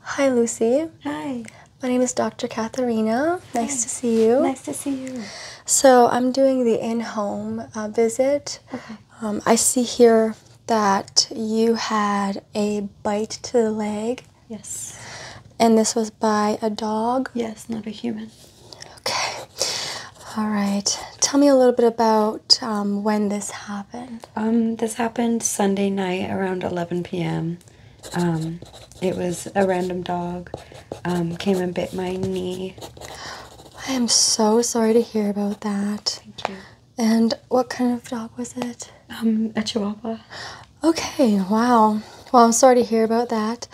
Hi, Lucy. Hi. My name is Dr. Katharina. Nice to see you. Nice to see you. So, I'm doing the in home uh, visit. Okay. Um, I see here that you had a bite to the leg. Yes. And this was by a dog? Yes, not a human. Okay. All right. Tell me a little bit about um, when this happened. Um, this happened Sunday night around 11 p.m. Um, it was a random dog. Um, came and bit my knee. I am so sorry to hear about that. Thank you. And what kind of dog was it? Um, a Chihuahua. Okay. Wow. Well, I'm sorry to hear about that.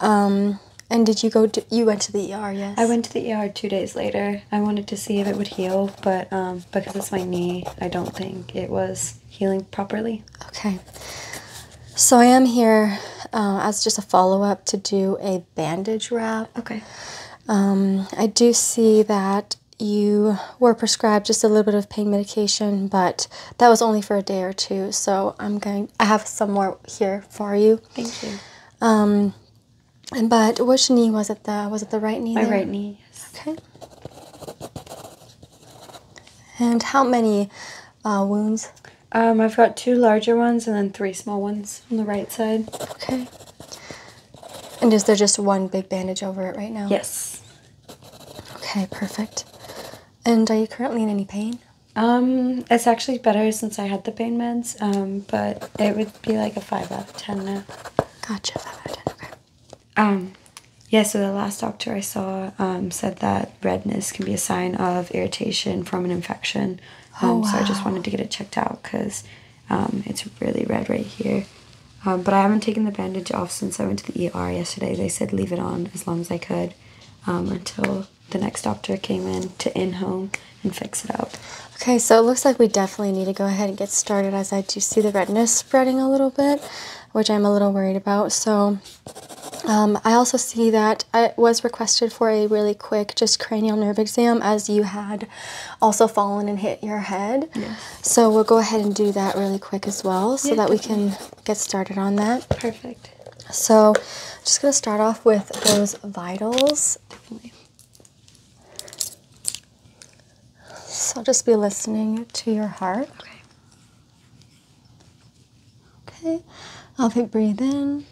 Um, and did you go? you went to the ER, yes. I went to the ER two days later. I wanted to see if it would heal, but um, um, because it's my knee, I don't think it was healing properly. Okay. So I am here um, as just a follow up to do a bandage wrap. Okay. Um, I do see that you were prescribed just a little bit of pain medication, but that was only for a day or two. So I'm going. I have some more here for you. Thank you. Um, but which knee was it? The was it the right knee? My right knee. Yes. Okay. And how many uh, wounds? Um, I've got two larger ones and then three small ones on the right side. Okay. And is there just one big bandage over it right now? Yes. Okay, perfect. And are you currently in any pain? Um, it's actually better since I had the pain meds, um, but it would be like a 5 out of 10 now. Gotcha, 5 out of 10, okay. Um, yeah, so the last doctor I saw um, said that redness can be a sign of irritation from an infection. Um, oh, So I just wanted to get it checked out because it's really red right here. but I haven't taken the bandage off since I went to the ER yesterday. They said leave it on as long as I could until the next doctor came in to in home and fix it up. Okay, so it looks like we definitely need to go ahead and get started as I do see the redness spreading a little bit, which I'm a little worried about. So um, I also see that I was requested for a really quick just cranial nerve exam as you had also fallen and hit your head. Yes. So we'll go ahead and do that really quick as well so that we can get started on that. Perfect. So just going to start off with those vitals. Definitely. So just be listening to your heart. Okay. Okay. I'll pick breathe in.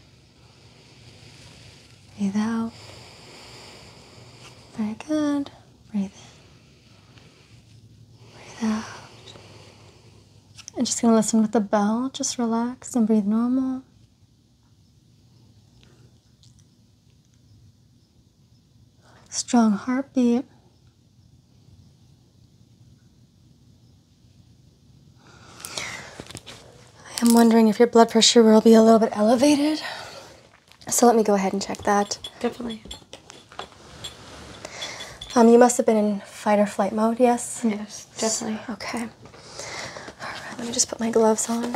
Breathe out. Very good. Breathe in. Breathe out. I'm just going to listen with the bell. Just relax and breathe normal strong heartbeat. I'm wondering if your blood pressure will be a little bit elevated. So let me go ahead and check that. Definitely. Um, you must have been in fight or flight mode, yes? Yes, definitely. Okay. All right, let me just put my gloves on.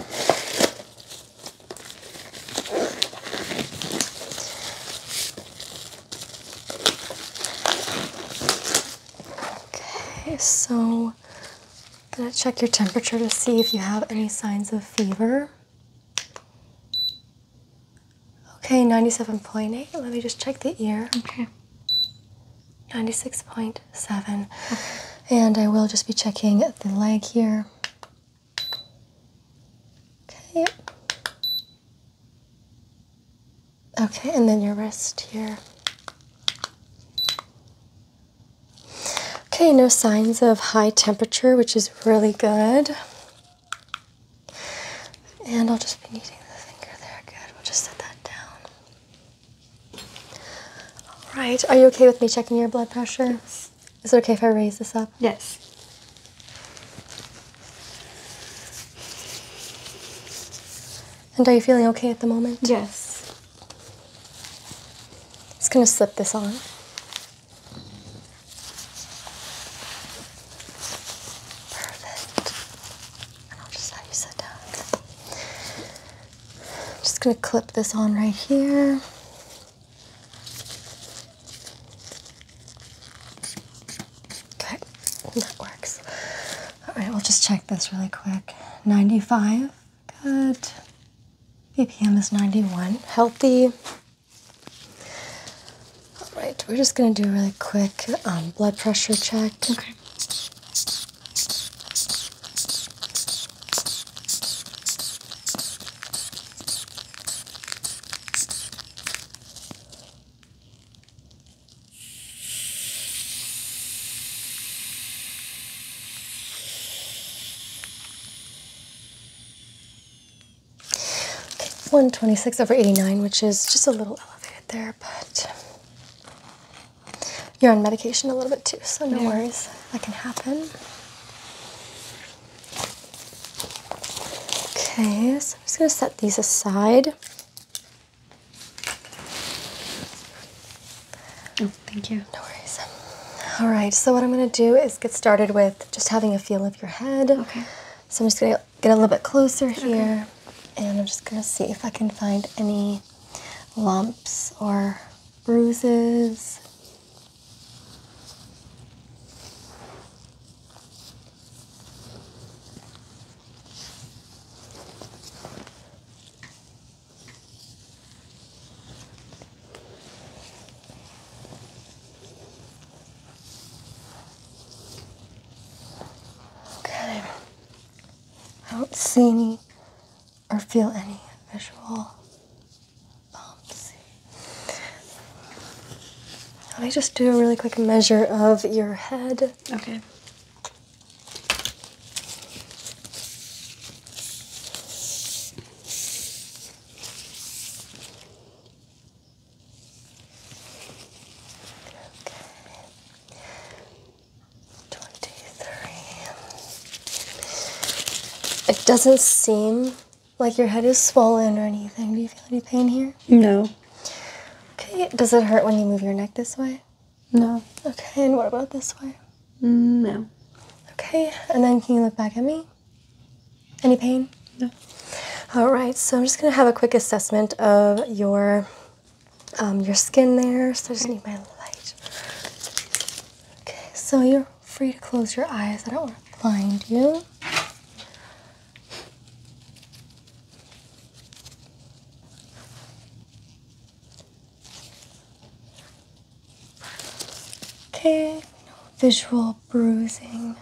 Okay, so I'm gonna check your temperature to see if you have any signs of fever. Okay, 97.8. Let me just check the ear. Okay. 96.7. Okay. And I will just be checking the leg here. Okay. Okay, and then your wrist here. Okay, no signs of high temperature, which is really good. And I'll just be needing the finger there. Good. We'll just set that down. All right. Are you okay with me checking your blood pressure? Is it okay if I raise this up? Yes. And are you feeling okay at the moment? Yes. Just gonna slip this on. Perfect. And I'll just have you sit down. just gonna clip this on right here. Good, that works. All right, we'll just check this really quick. 95, good. BPM is 91, healthy. All right, we're just gonna do a really quick um, blood pressure check. Okay. 126 over 89, which is just a little elevated there, but you're on medication a little bit too, so no worries. That can happen. Okay, so I'm just going to set these aside. Oh, thank you. No worries. All right, so what I'm going to do is get started with just having a feel of your head. Okay. So I'm just going to get a little bit closer here, and I'm just going to see if I can find any lumps or bruises. Okay. I don't see any or feel any visual bumps. Let me just do a really quick measure of your head. Okay. Twenty-three. It doesn't seem like your head is swollen or anything. Do you feel any pain here? No. Okay, does it hurt when you move your neck this way? No. Okay, and what about this way? No. Okay, and then can you look back at me? Any pain? No. All right, so I'm just gonna have a quick assessment of your um, your skin there. So I just need my light. Okay, so you're free to close your eyes. I don't want to blind you. Okay, no visual bruising.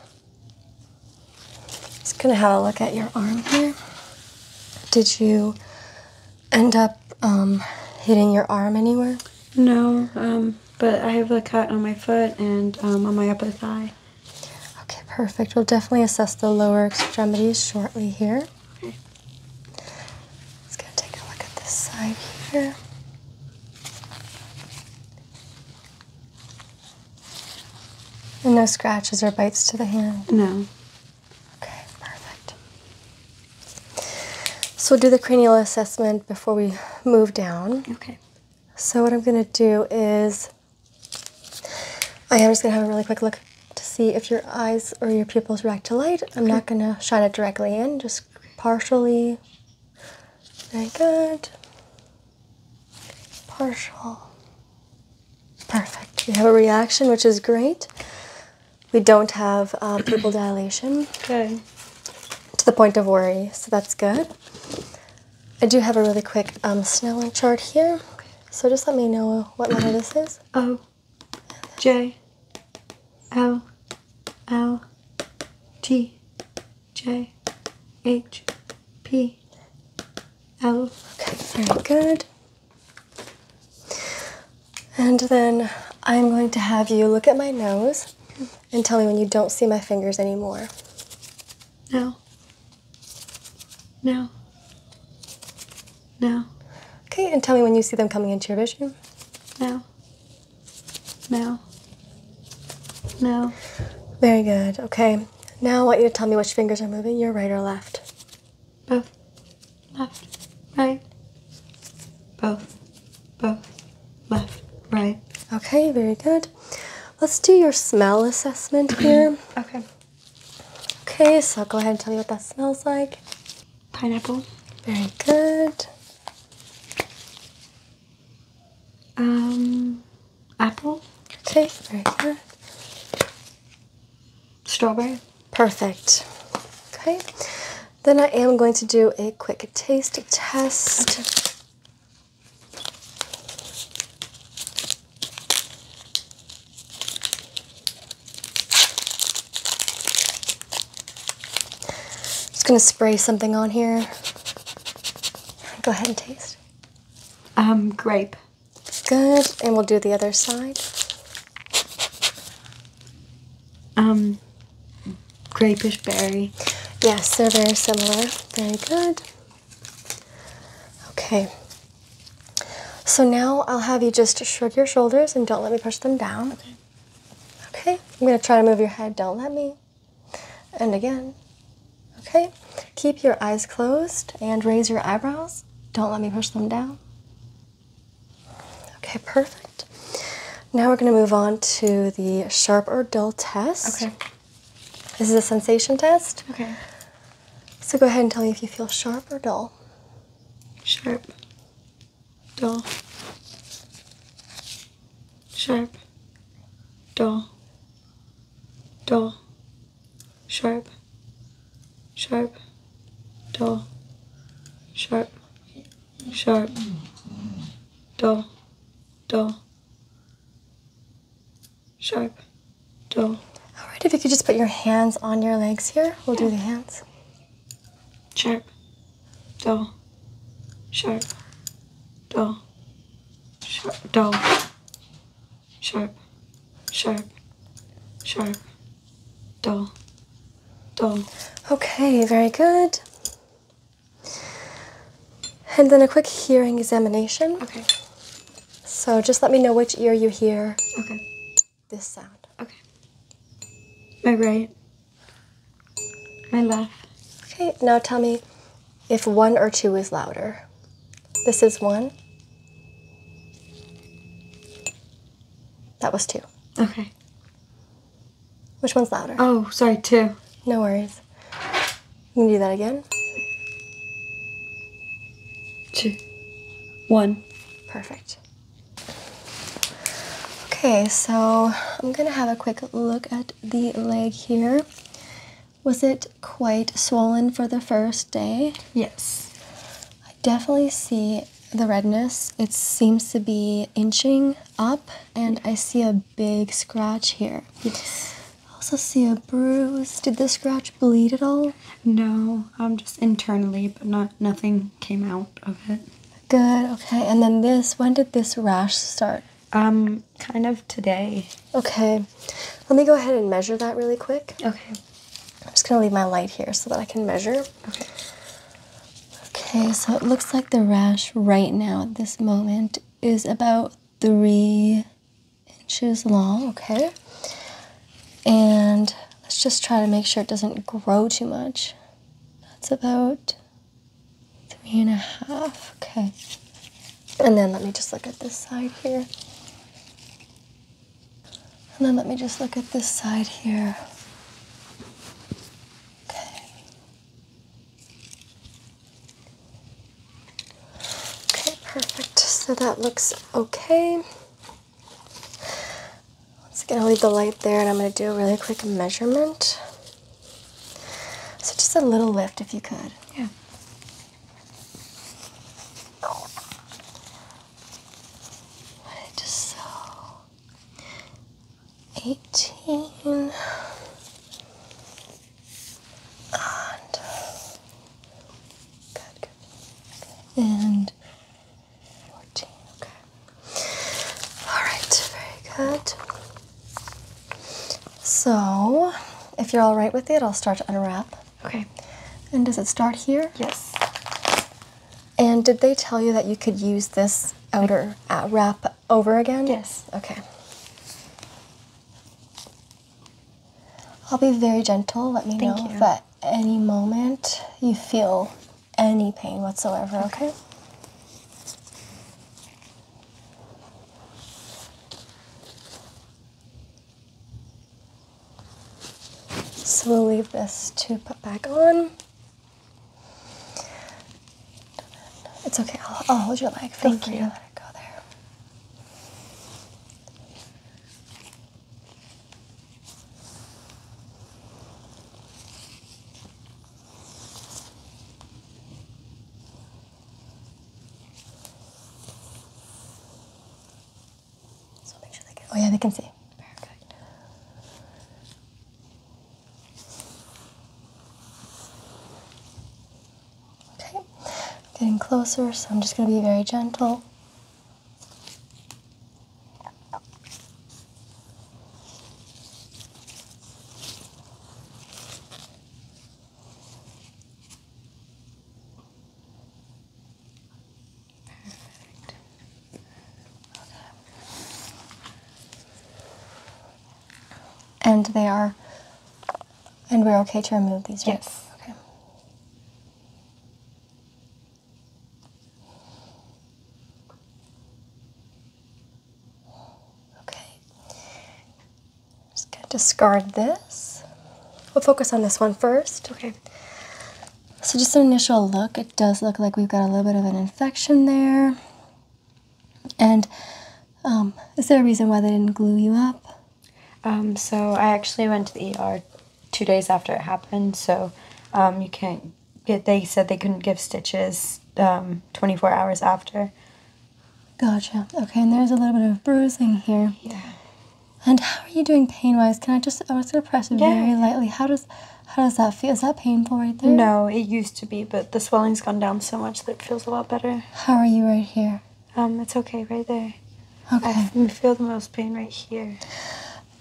Just gonna have a look at your arm here. Did you end up um, hitting your arm anywhere? No, um, but I have a cut on my foot and um, on my upper thigh. Okay, perfect. We'll definitely assess the lower extremities shortly here. Let's go take a look at this side here. And no scratches or bites to the hand? No. Okay, perfect. So we'll do the cranial assessment before we move down. Okay. So what I'm going to do is I am just going to have a really quick look to see if your eyes or your pupils react to light. I'm not going to shine it directly in, just partially. Very good. Partial. Perfect. We have a reaction, which is great. We don't have uh, pupil dilation. Good. To the point of worry, so that's good. I do have a really quick um, Snellen chart here, so just let me know what letter this is. O, J, L, L, T, J, H, P, L. Okay, very good. And then I'm going to have you look at my nose and tell me when you don't see my fingers anymore. Now, now, now. Okay, and tell me when you see them coming into your vision. Now, now, now. Very good. Okay. Now I want you to tell me which fingers are moving, your right or left. Both. Left. Right both, both, left, right. Okay, very good. Let's do your smell assessment here. okay. Okay, so go ahead and tell me what that smells like. Pineapple. Very good. Um, apple. Okay, very good. Strawberry. Perfect. Okay. Then I am going to do a quick taste test. Just gonna spray something on here. Go ahead and taste. Um, grape. Good, and we'll do the other side. Um, grapish berry. Yes, they're very similar. Very good. Okay. So now I'll have you just shrug your shoulders and don't let me push them down. Okay. Okay. I'm going to try to move your head. Don't let me. And again. Okay. Keep your eyes closed and raise your eyebrows. Don't let me push them down. Okay, perfect. Now we're going to move on to the sharp or dull test. Okay. This is a sensation test. Okay. So go ahead and tell me if you feel sharp or dull. Sharp. Dull. Sharp. Dull. Dull. Sharp. Sharp. Dull. Sharp sharp, dull, dull, sharp, dull. All right, if you could just put your hands on your legs here, we'll do the hands. Sharp, dull, sharp, dull, sharp, dull, sharp, sharp, sharp, dull, done. Oh. Okay, very good. And then a quick hearing examination. Okay. So just let me know which ear you hear. Okay. This sound. Okay. My right. My left. Okay, now tell me if one or two is louder. This is one. That was two. Okay. Which one's louder? Oh, sorry, two. No worries. You can do that again. Two. One. Perfect. Okay, so I'm gonna have a quick look at the leg here. Was it quite swollen for the first day? Yes. I definitely see the redness. It seems to be inching up, and I see a big scratch here. I also see a bruise. Did the scratch bleed at all? No, I'm um, just internally, but not nothing came out of it. Good. Okay. And then this. When did this rash start? Um, kind of today. Okay. Let me go ahead and measure that really quick. Okay. I'm just gonna leave my light here so that I can measure. Okay. Okay, so it looks like the rash right now at this moment is about three inches long, okay? And let's just try to make sure it doesn't grow too much. That's about three and a half, okay. And then let me just look at this side here. And then let me just look at this side here. Okay. Okay, perfect. So that looks okay. It's gonna leave the light there and I'm gonna do a really quick measurement. So just a little lift if you could. Yeah. Just so 18 and good, good. And 14, okay. Alright, very good. So, if you're alright with it, I'll start to unwrap. Okay. And does it start here? Yes. And did they tell you that you could use this outer wrap over again? Yes. Okay. I'll be very gentle. Let me Thank know you. at any moment you feel any pain whatsoever, okay? So we'll leave this to put back on. It's okay. I'll, hold your leg. Feel Thank you. let it go there. Oh yeah, they can see. Perfect. Okay, getting closer, so I'm just going to be very gentle. And they are, and we're okay to remove these, right? Yes. Okay. Okay. just gonna discard this. We'll focus on this one first. Okay. So just an initial look, it does look like we've got a little bit of an infection there. And um, is there a reason why they didn't glue you up? Um, so I actually went to the ER two days after it happened, so um, you can't get, they said they couldn't give stitches 24 hours after. Gotcha. Okay, and there's a little bit of bruising here. Yeah. And how are you doing pain-wise? Can I just, I was going to press yeah. very lightly. How does, how does that feel? Is that painful right there? No, it used to be, but the swelling's gone down so much that it feels a lot better. How are you right here? Um, it's okay right there. Okay. I feel the most pain right here.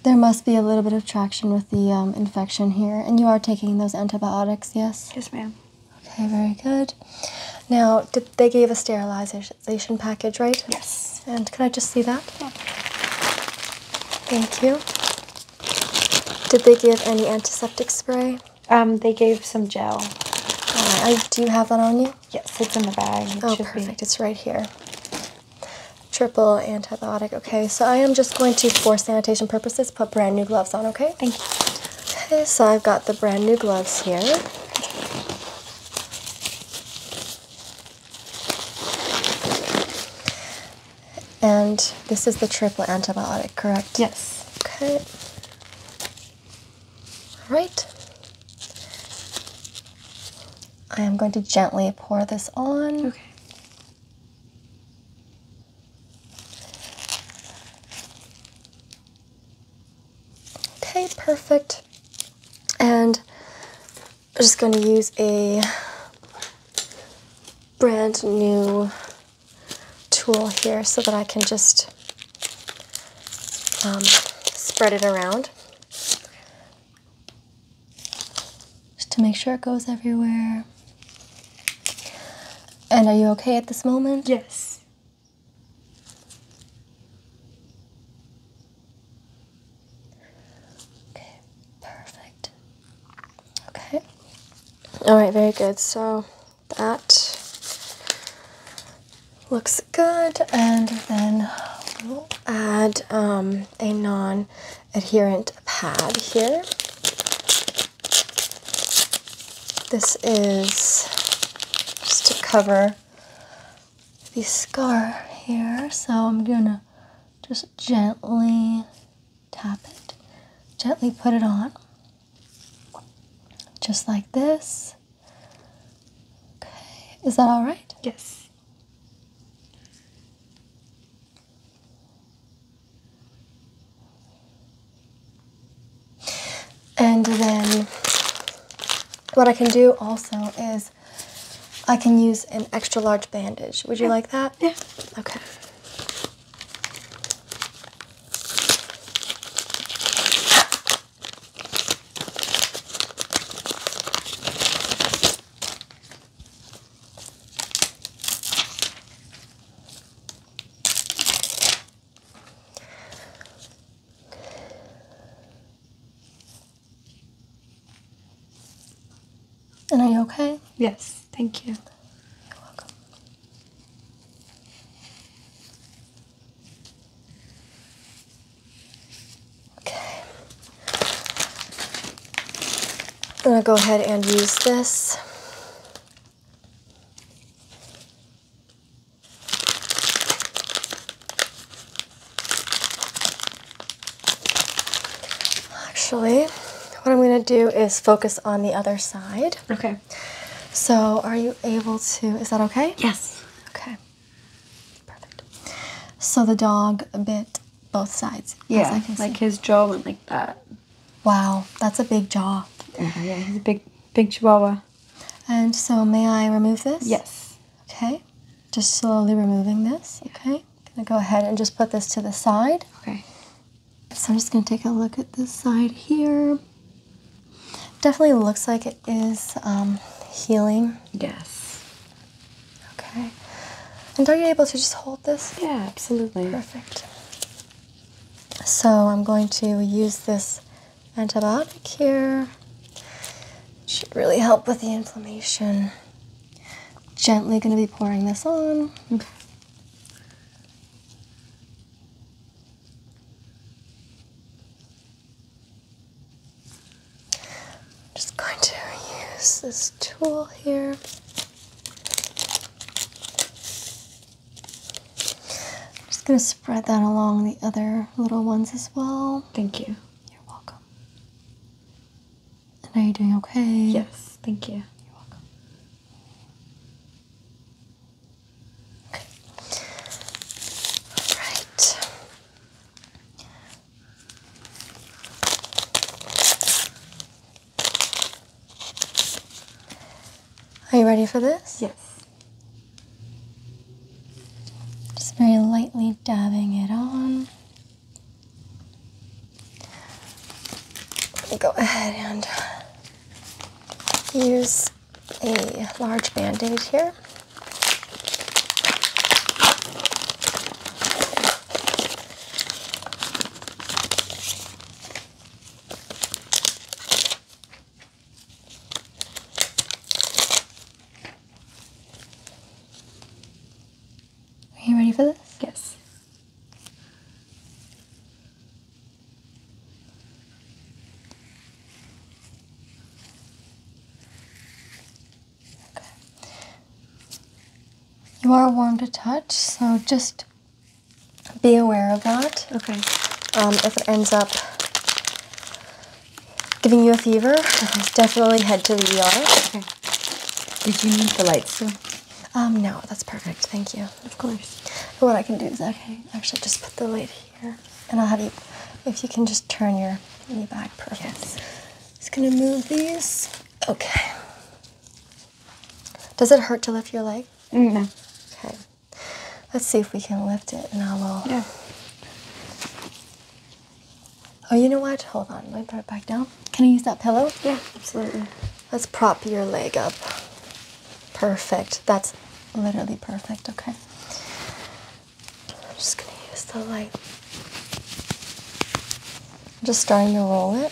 There must be a little bit of traction with the um, infection here, and you are taking those antibiotics, yes? Yes, ma'am. Okay, very good. Now, did, they gave a sterilization package, right? Yes and can I just see that? Yeah. Thank you. Did they give any antiseptic spray? Um, they gave some gel. I, do have that on you? Yes, it's in the bag. oh, perfect. It's right here. Triple antibiotic. Okay, so I am just going to, for sanitation purposes, put brand new gloves on, okay? Thank you. Okay, so I've got the brand new gloves here. And this is the triple antibiotic, correct? Yes. Okay. All right. I am going to gently pour this on. Okay. Okay, perfect. And I'm just going to use a brand new tool here so that I can just um, spread it around. Just to make sure it goes everywhere. And are you okay at this moment? Yes. Okay, perfect. Okay. Alright, very good. So that looks good, and then we'll add um, a non adherent pad here. This is just to cover the scar here, so I'm gonna just gently tap it, gently put it on, just like this. Okay, is that all right? Yes. And then what I can do also is I can use an extra large bandage. Would you like that? Yeah. Okay. And are you okay? Yes, thank you. You're welcome. Okay. I'm going to go ahead and use this. Actually, what I'm going to do is focus on the other side. Okay. So, are you able to? Is that okay? Yes. Okay. Perfect. So the dog bit both sides. Yeah, like his jaw went like that. Wow, that's a big jaw. Yeah, uh-huh, yeah, he's a big, big chihuahua. And so, may I remove this? Yes. Okay. Just slowly removing this. Okay. I'm gonna go ahead and just put this to the side. Okay. So I'm just gonna take a look at this side here. Definitely looks like it is um, healing. Yes. Okay. And are you able to just hold this? Yeah, absolutely. Perfect. So I'm going to use this antibiotic here. should really help with the inflammation. Gently going to be pouring this on. I'm just going to use this tool here. I'm just going to spread that along the other little ones as well. Thank you. You're welcome. And are you doing okay? Yes, thank you. You're welcome. All right. Are you ready for this? Yes. Just very lightly dabbing it on. Let me go ahead and use a large band-aid here. Are you ready for this? Yes. Okay. You are warm to touch, so just be aware of that. Okay. Um, if it ends up giving you a fever? Definitely head to the ER. Okay. Did you need the lights too? Um, no, that's perfect. Thank you. Of course. What I can do is okay. Actually, just put the light here, and I'll have you. If you can just turn your knee back, perfect. Yes. Just gonna move these. Okay. Does it hurt to lift your leg? Mm, no. Okay. Let's see if we can lift it, and I will. Yeah. Oh, you know what? Hold on. Let me put it back down. Can I use that pillow? Yeah, absolutely. Let's prop your leg up. Perfect. That's literally perfect. Okay. I'm just going to use the light. I'm just starting to roll it.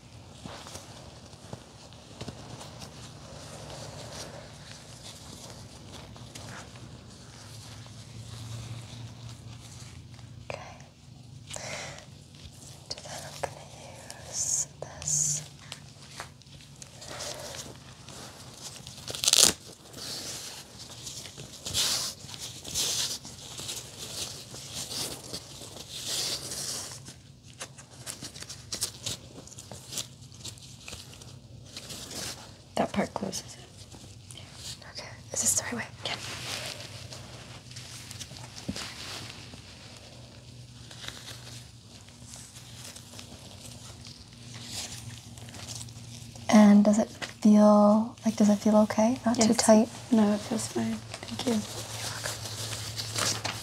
Okay. And then I'm going to use this. That part closes it. Okay. Is this the right way? Yeah. And does it feel like does it feel okay? Not too tight? No, it feels fine. Thank you. You're welcome.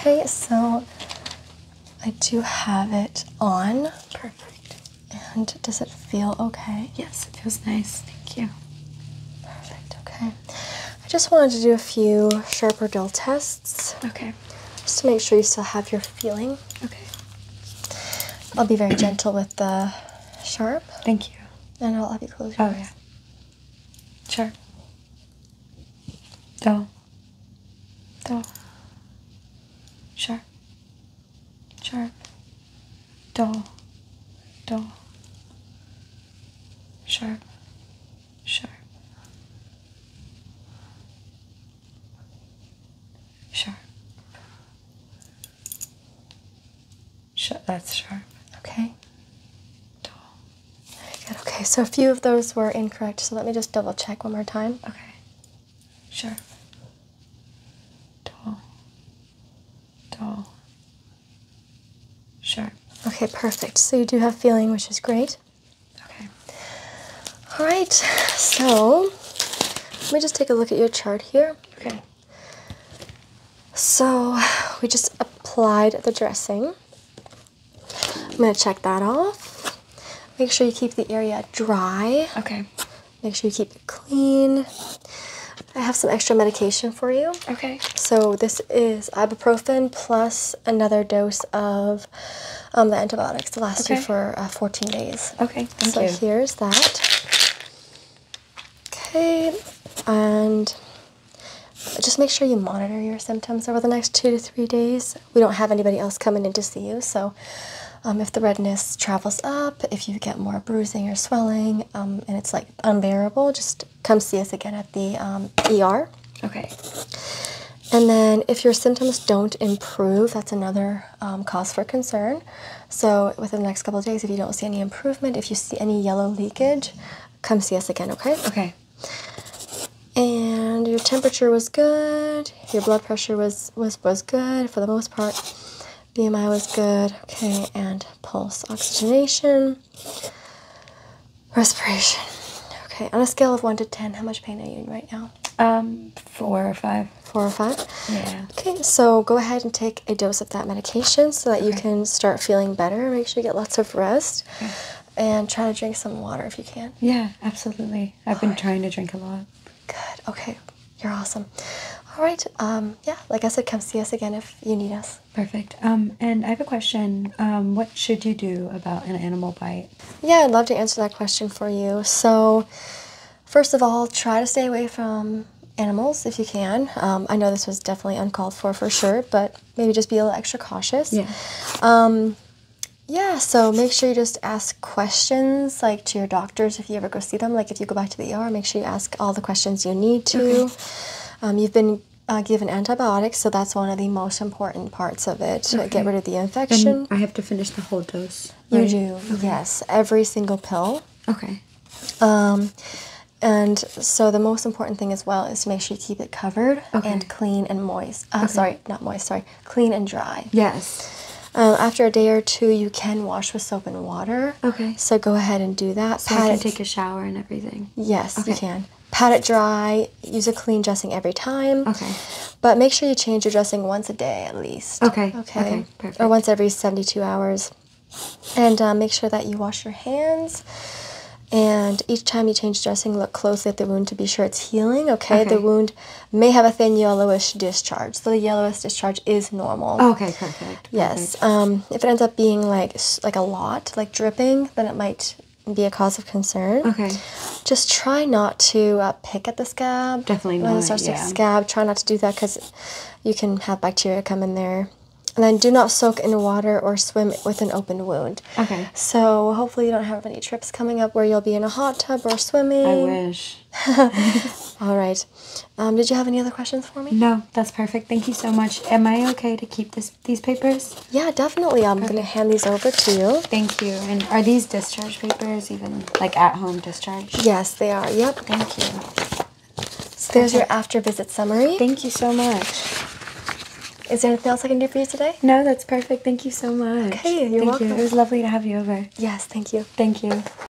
Okay, so I do have it on. Perfect. And does it feel okay? Yes, it feels nice. Thank you. Perfect. Okay. I just wanted to do a few sharp or dull tests. Okay. Just to make sure you still have your feeling. Okay. I'll be very gentle with the sharp. Thank you. And I'll have you close your oh, eyes. Yeah. Sharp. Dull. Dull. Sharp sharp, dull, dull, sharp, sharp, sharp. Sh that's sharp, okay? Dull. okay, so a few of those were incorrect, so let me just double check one more time. Okay. Sharp. Dull dull, sharp. Okay, perfect. So you do have feeling, which is great. Okay. All right. So let me just take a look at your chart here. Okay. So we just applied the dressing. I'm gonna check that off. Make sure you keep the area dry. Okay. Make sure you keep it clean. I have some extra medication for you. Okay. So this is ibuprofen plus another dose of um, the antibiotics to last you for uh, 14 days. Okay. so here's that. Okay. And just make sure you monitor your symptoms over the next two to three days. We don't have anybody else coming in to see you, so um, if the redness travels up, if you get more bruising or swelling um, and it's like unbearable, just come see us again at the ER. Okay. And then if your symptoms don't improve, that's another um, cause for concern. So within the next couple of days, if you don't see any improvement, if you see any yellow leakage, come see us again, okay? Okay. And your temperature was good, your blood pressure was was was good for the most part. BMI was good. Okay, and pulse oxygenation, respiration. Okay, on a scale of one to ten, how much pain are you in right now? Um, four or five. Four or five? Yeah. Okay, so go ahead and take a dose of that medication so that you can start feeling better. Make sure you get lots of rest. And try to drink some water if you can. Yeah, absolutely. I've been trying to drink a lot. Good. Okay. You're awesome. All right. Um, yeah, like I said, come see us again if you need us. Perfect. Um, and I have a question. Um, what should you do about an animal bite? Yeah, I'd love to answer that question for you. So, first of all, try to stay away from animals if you can. Um, I know this was definitely uncalled for for sure, but maybe just be a little extra cautious. Yeah. Um, yeah, so make sure you just ask questions like to your doctors if you ever go see them. Like if you go back to the ER, make sure you ask all the questions you need to. Um, you've been uh, given antibiotics, so that's one of the most important parts of it. to Get rid of the infection. I have to finish the whole dose. You do, yes. Every single pill. Okay. Um, and so the most important thing as well is to make sure you keep it covered and clean and moist. Uh, Sorry, not moist. Sorry, clean and dry. Yes. Um, after a day or two, you can wash with soap and water. Okay. So go ahead and do that. I can take a shower and everything. Yes, you can. Pat it dry. Use a clean dressing every time. Okay. But make sure you change your dressing once a day at least. Okay. Okay. perfect. Or once every 72 hours. And uh, make sure that you wash your hands. And each time you change dressing, look closely at the wound to be sure it's healing. okay, the wound may have a thin yellowish discharge, so the yellowish discharge is normal. Okay, perfect. Perfect. Yes. Perfect. Um, if it ends up being like like a lot, like dripping, then it might be a cause of concern. Okay. Just try not to uh, pick at the scab. Definitely when not. When it starts yeah. to scab, try not to do that because you can have bacteria come in there. And then do not soak in water or swim with an open wound. Okay. So hopefully you don't have any trips coming up where you'll be in a hot tub or swimming. I wish. All right. Um, did you have any other questions for me? No, that's perfect. Thank you so much. Am I okay to keep this these papers? Yeah, definitely. I'm gonna hand these over to you. Thank you. And are these discharge papers even like at home discharge? Yes, they are. Yep. Thank you. So there's your after visit summary. Thank you so much. Is there anything else I can do for you today? No, that's perfect. Thank you so much. Okay, you're thank welcome. You. It was lovely to have you over. Yes, thank you. Thank you.